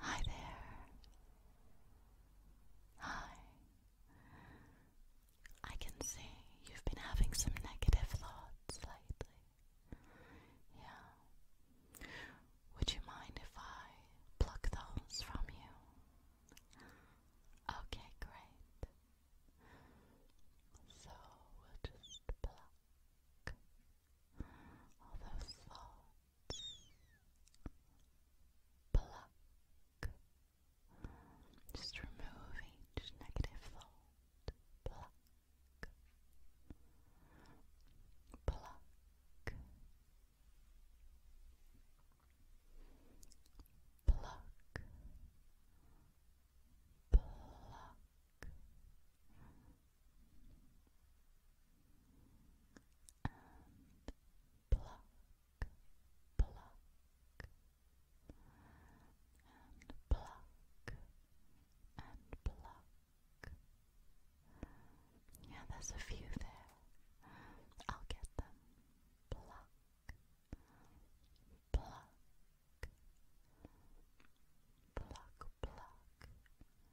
Hi there. Hi. I can see you've been having some negative thoughts lately. Yeah. Would you mind if I pluck those from you? Okay, great. So we'll just pluck, all those thoughts. Pluck. Just remove each negative thought. Pluck. Pluck. Pluck. Pluck and pluck, pluck, and pluck, and pluck. Yeah, there's a few there. I'll get them. Pluck, pluck, pluck, pluck.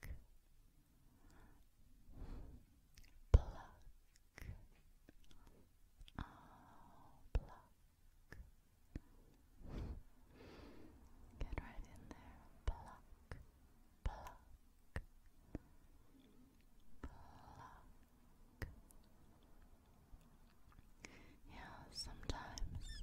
pluck, oh, pluck. Get right in there, pluck, pluck, pluck. Yeah, sometimes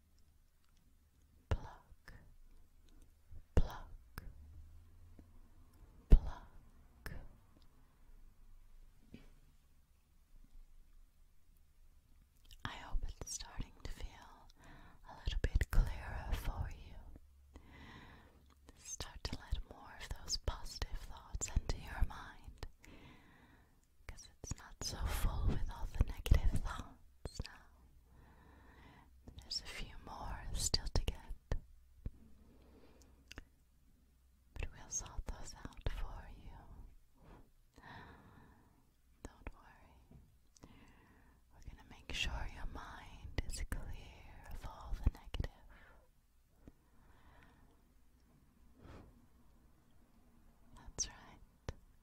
pluck, pluck, pluck. I hope it's starting to feel a little bit clearer for you. Start to let more of those positive thoughts into your mind because it's not so full with all the negative thoughts now. There's a few more still to get. But we'll sort those out for you. Don't worry. We're going to make sure your mind is clear of all the negative. That's right.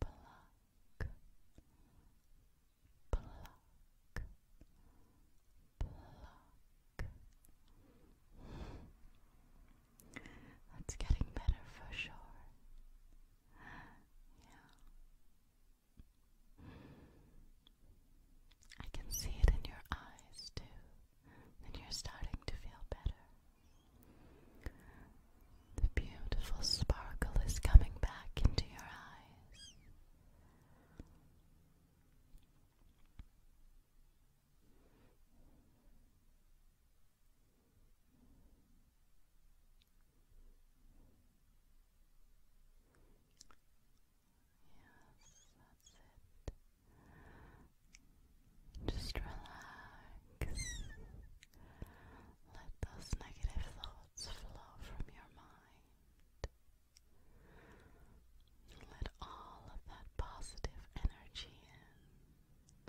pluck, pluck, pluck. That's getting better for sure. Yeah. I can see it in your eyes too, and you're starting to feel better. The beautiful sparkle is coming back into your eyes. Yes, that's it. Just relax. Let those negative thoughts flow from your mind. Let all of that positive energy in.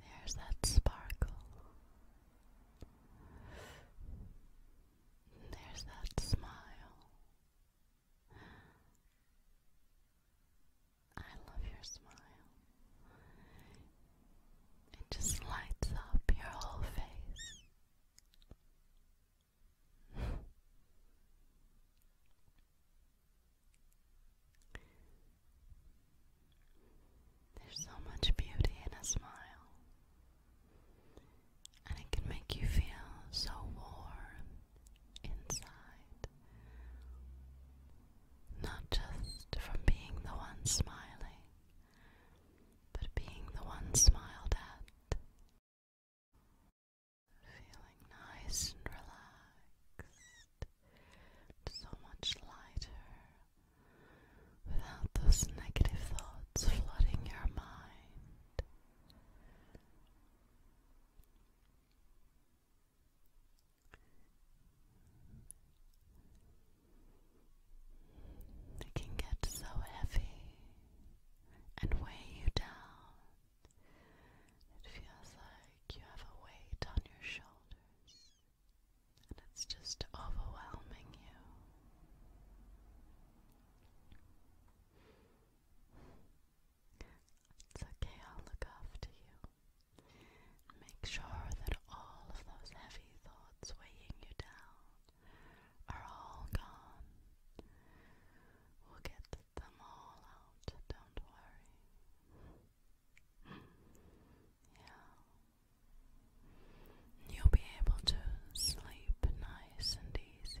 There's that sparkle. There's that smile. I love your smile. It just lights up your whole face. There's so much beauty in a smile and it can make you feel so warm inside. Not just from being the one smiling, but being the one smiled at. Feeling nice and relaxed, so much lighter, without those negative thoughts flooding your mind. They can get so heavy and weigh you down. It feels like you have a weight on your shoulders and it's just overwhelming you. It's okay, I'll look after you. Make sure that all of those heavy thoughts weighing you down are all gone. We'll get them all out, don't worry. Yeah, You'll be able to sleep nice and easy.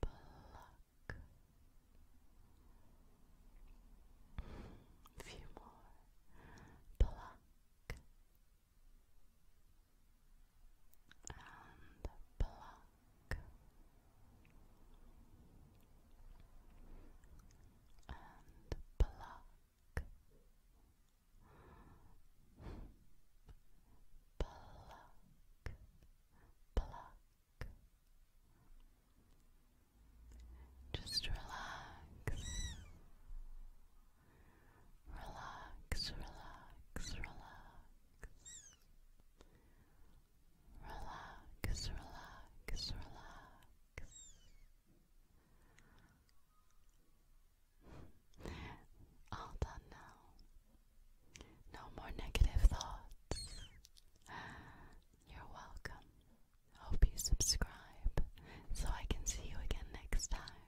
Black. few more. Pluck. And pluck. And pluck pluck, pluck. Just relax, relax, relax, relax. Relax, relax, relax. All done now. No more negative thoughts. You're welcome. Hope you subscribe so I can see you again next time.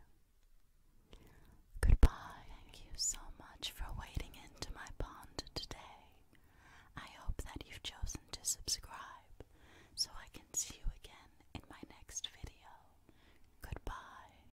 Goodbye. Thank you so much for wading into my pond today. I hope that you've chosen to subscribe so I can see you again in my next video. Goodbye.